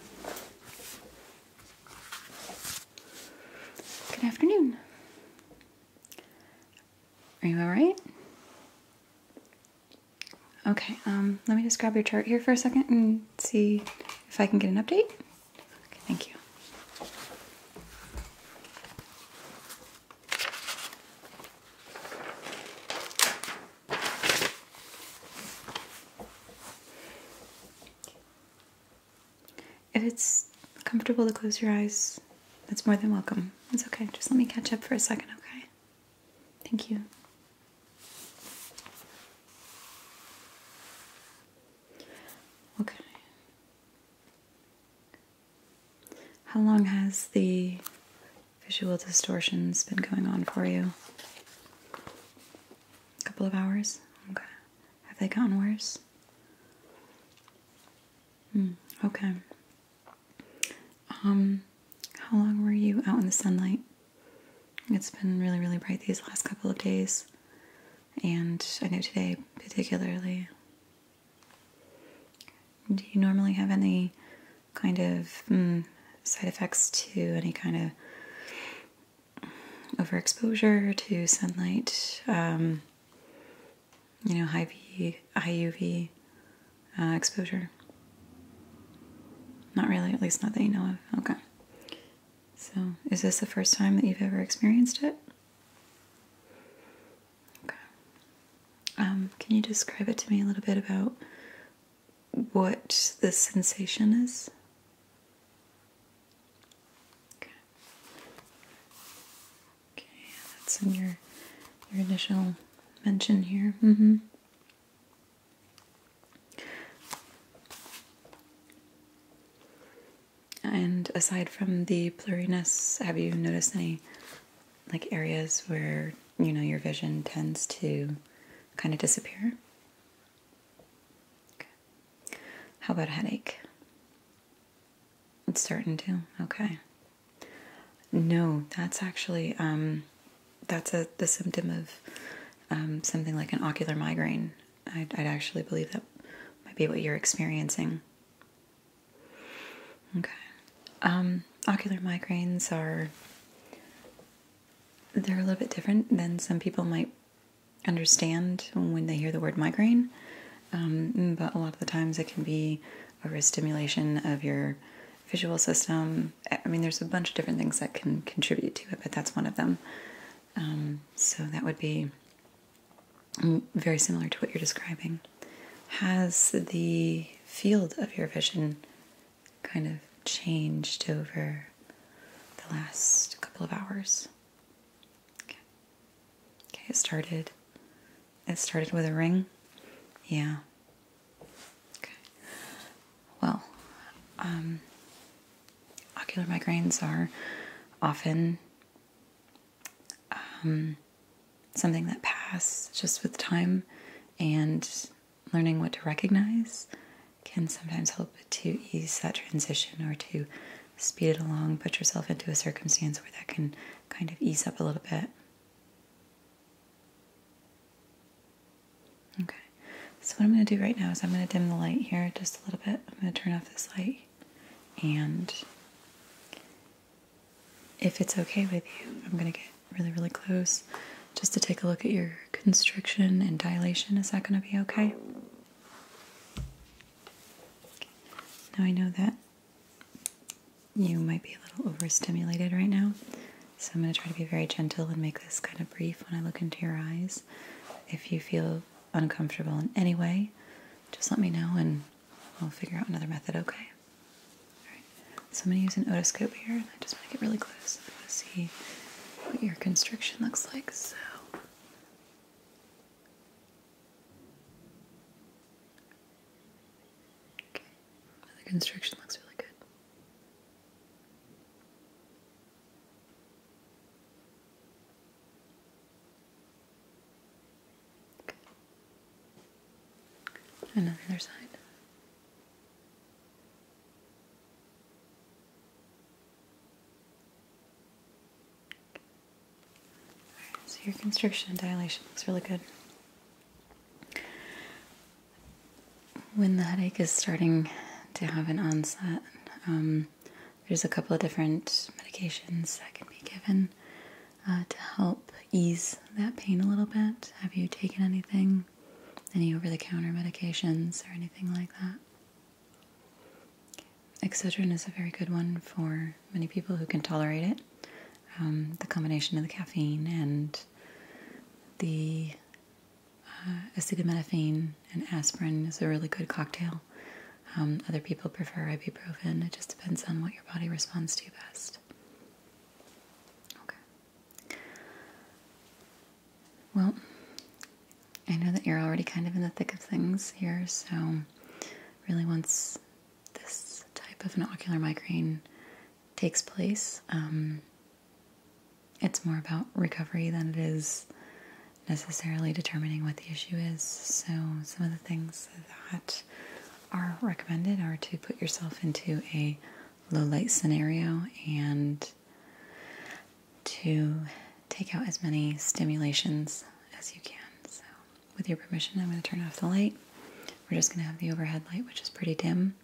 Good afternoon. Are you all right? Okay, um, let me just grab your chart here for a second and see if I can get an update. thank you. If it's comfortable to close your eyes, that's more than welcome. It's okay. Just let me catch up for a second, okay? Thank you. Okay. How long has the visual distortions been going on for you? A couple of hours? Okay. Have they gotten worse? Hmm. Okay. Um, how long were you out in the sunlight? It's been really, really bright these last couple of days, and I know today particularly. Do you normally have any kind of mm, side effects to any kind of overexposure to sunlight, um, you know, high, B, high UV exposure. Not really, at least not that you know of. Okay. So, is this the first time that you've ever experienced it? Okay. Um, can you describe it to me a little bit about what the sensation is? Okay. that's your your initial mention here. Mm-hmm. And aside from the blurriness, have you noticed any like areas where you know your vision tends to kind of disappear? How about headache? It's starting to. Okay. No, that's actually um, that's a the symptom of um, something like an ocular migraine. i I'd actually believe that might be what you're experiencing. Okay. Um, ocular migraines are they're a little bit different than some people might understand when they hear the word migraine. Um, but a lot of the times it can be a stimulation of your visual system. I mean, there's a bunch of different things that can contribute to it, but that's one of them. Um, so that would be very similar to what you're describing. Has the field of your vision kind of changed over the last couple of hours? Okay. Okay, it started. It started with a ring. Yeah. Okay. Well, um, ocular migraines are often um, something that passed just with time and learning what to recognize can sometimes help to ease that transition or to speed it along, put yourself into a circumstance where that can kind of ease up a little bit. Okay, so what I'm going to do right now is I'm going to dim the light here just a little bit. I'm going to turn off this light and if it's okay with you, I'm going to get really, really close just to take a look at your constriction and dilation. Is that going to be okay? Now I know that you might be a little overstimulated right now, so I'm going to try to be very gentle and make this kind of brief when I look into your eyes. If you feel uncomfortable in any way, just let me know and I'll figure out another method, okay? Alright, so I'm going to use an otoscope here, and I just want to get really close. I want to see what your constriction looks like, so. Okay, the constriction looks really good. And side. so your constriction and dilation looks really good. When the headache is starting to have an onset, um, there's a couple of different medications that can be given. Uh, to help ease that pain a little bit? Have you taken anything? Any over the counter medications or anything like that? Excedrin is a very good one for many people who can tolerate it. Um, the combination of the caffeine and the uh, acetaminophen and aspirin is a really good cocktail um, other people prefer ibuprofen. It just depends on what your body responds to best. Okay. Well, I know that you're already kind of in the thick of things here, so really once this type of an ocular migraine takes place, um, it's more about recovery than it is necessarily determining what the issue is. So, some of the things that are recommended are to put yourself into a low light scenario and to take out as many stimulations as you can. So, with your permission, I'm going to turn off the light. We're just going to have the overhead light, which is pretty dim,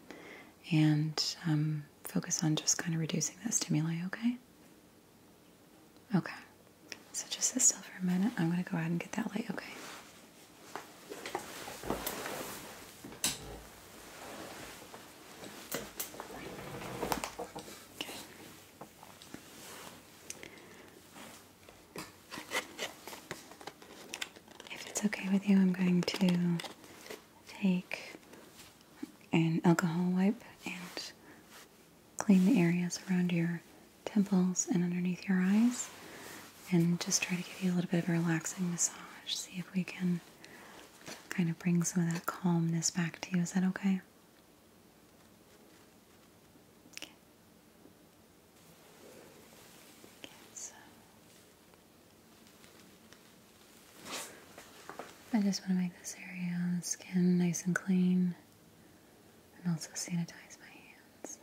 and um, focus on just kind of reducing the stimuli, okay? Okay, so just sit still for a minute. I'm going to go ahead and get that light, okay? Okay. If it's okay with you, I'm going to take an alcohol wipe and clean the areas around your temples and underneath your eyes and just try to give you a little bit of a relaxing massage. See if we can kind of bring some of that calmness back to you. Is that okay? Okay. so I just want to make this area on um, the skin nice and clean and also sanitize my hands.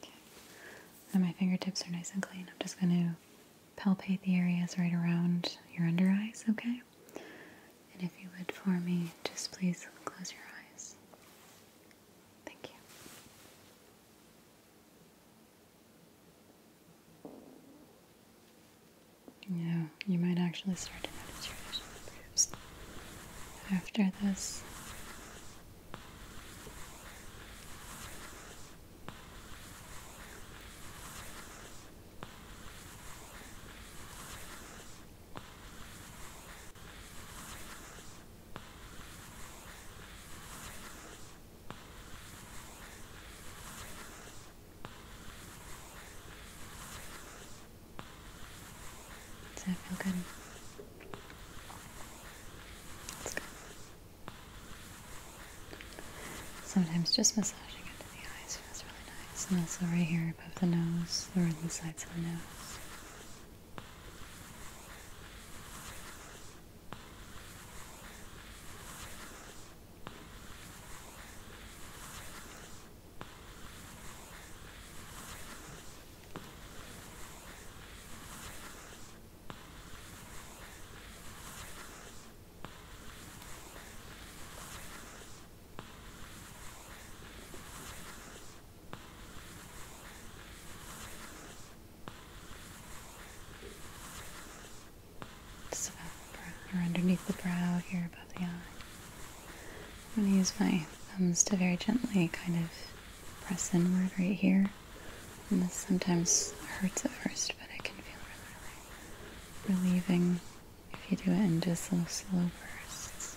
Okay. my fingertips are nice and clean. I'm just going to palpate the areas right around your under eyes, okay? And if you would for me, just please close your eyes. Thank you. Yeah, you might actually start to notice your vision improves after this. Does that feel good? It's good. Sometimes just massaging it to the eyes feels really nice. And also right here above the nose, or the sides of the nose. Just above the or underneath the brow here above the eye. I'm going to use my thumbs to very gently kind of press inward right here. And this sometimes hurts at first, but it can feel really relieving if you do it in just little slow bursts.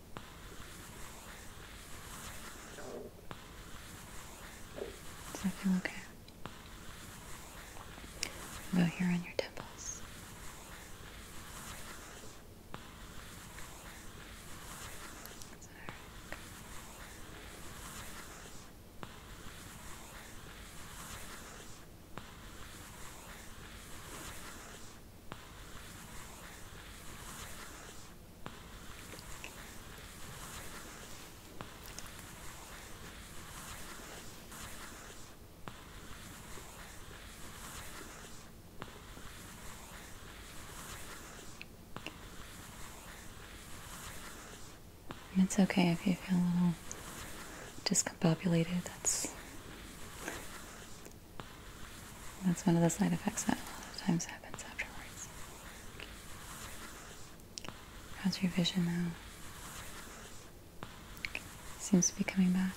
okay? Go here on your temples it's okay if you feel a little discombobulated. That's that's one of the side effects that a lot of times happens afterwards. How's your vision now? Seems to be coming back.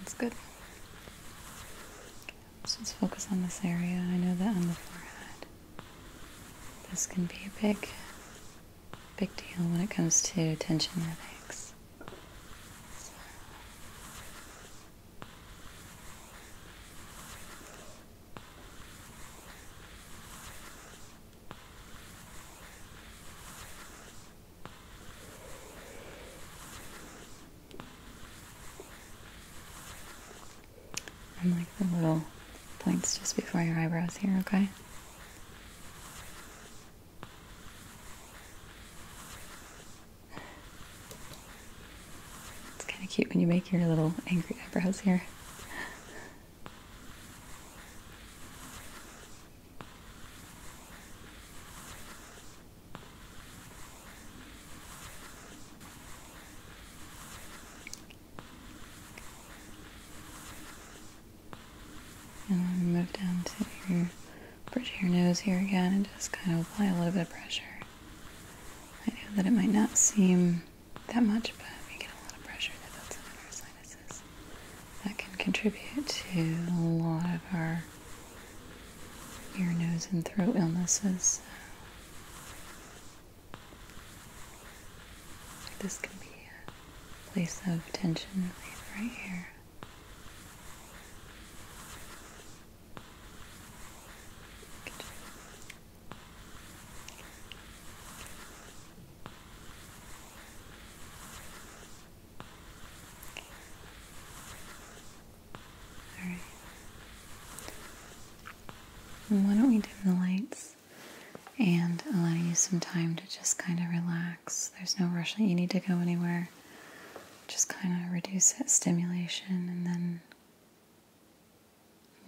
That's good. Okay. Let's just focus on this area. I know that on the forehead, this can be a big big deal when it comes to tension headaches. So. And like the little points just before your eyebrows here, okay? It's kind of cute when you make your little angry eyebrows here. And then move down to your bridge your nose here again and just kind of apply a little bit of pressure. I know that it might not seem that much, but we get a lot of pressure that builds in our sinuses. That can contribute to a lot of our ear, nose, and throat illnesses. This can be place of tension right here. All right. Why don't we dim the lights? and allow you some time to just kind of relax. There's no rush you need to go anywhere. Just kind of reduce that stimulation, and then,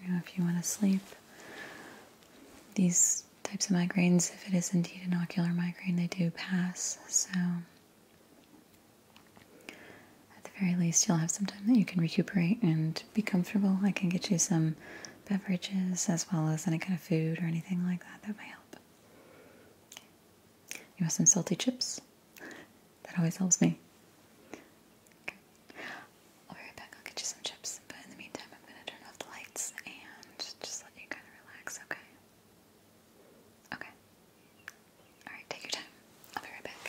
you know, if you want to sleep, these types of migraines, if it is indeed an ocular migraine, they do pass. So, at the very least, you'll have some time that you can recuperate and be comfortable. I can get you some beverages as well as any kind of food or anything like that that might help. You want some salty chips? That always helps me. I'll be right back. I'll get you some chips, but in the meantime, I'm going to turn off the lights and just let you kind of relax, okay? Okay. Alright, take your time. I'll be right back.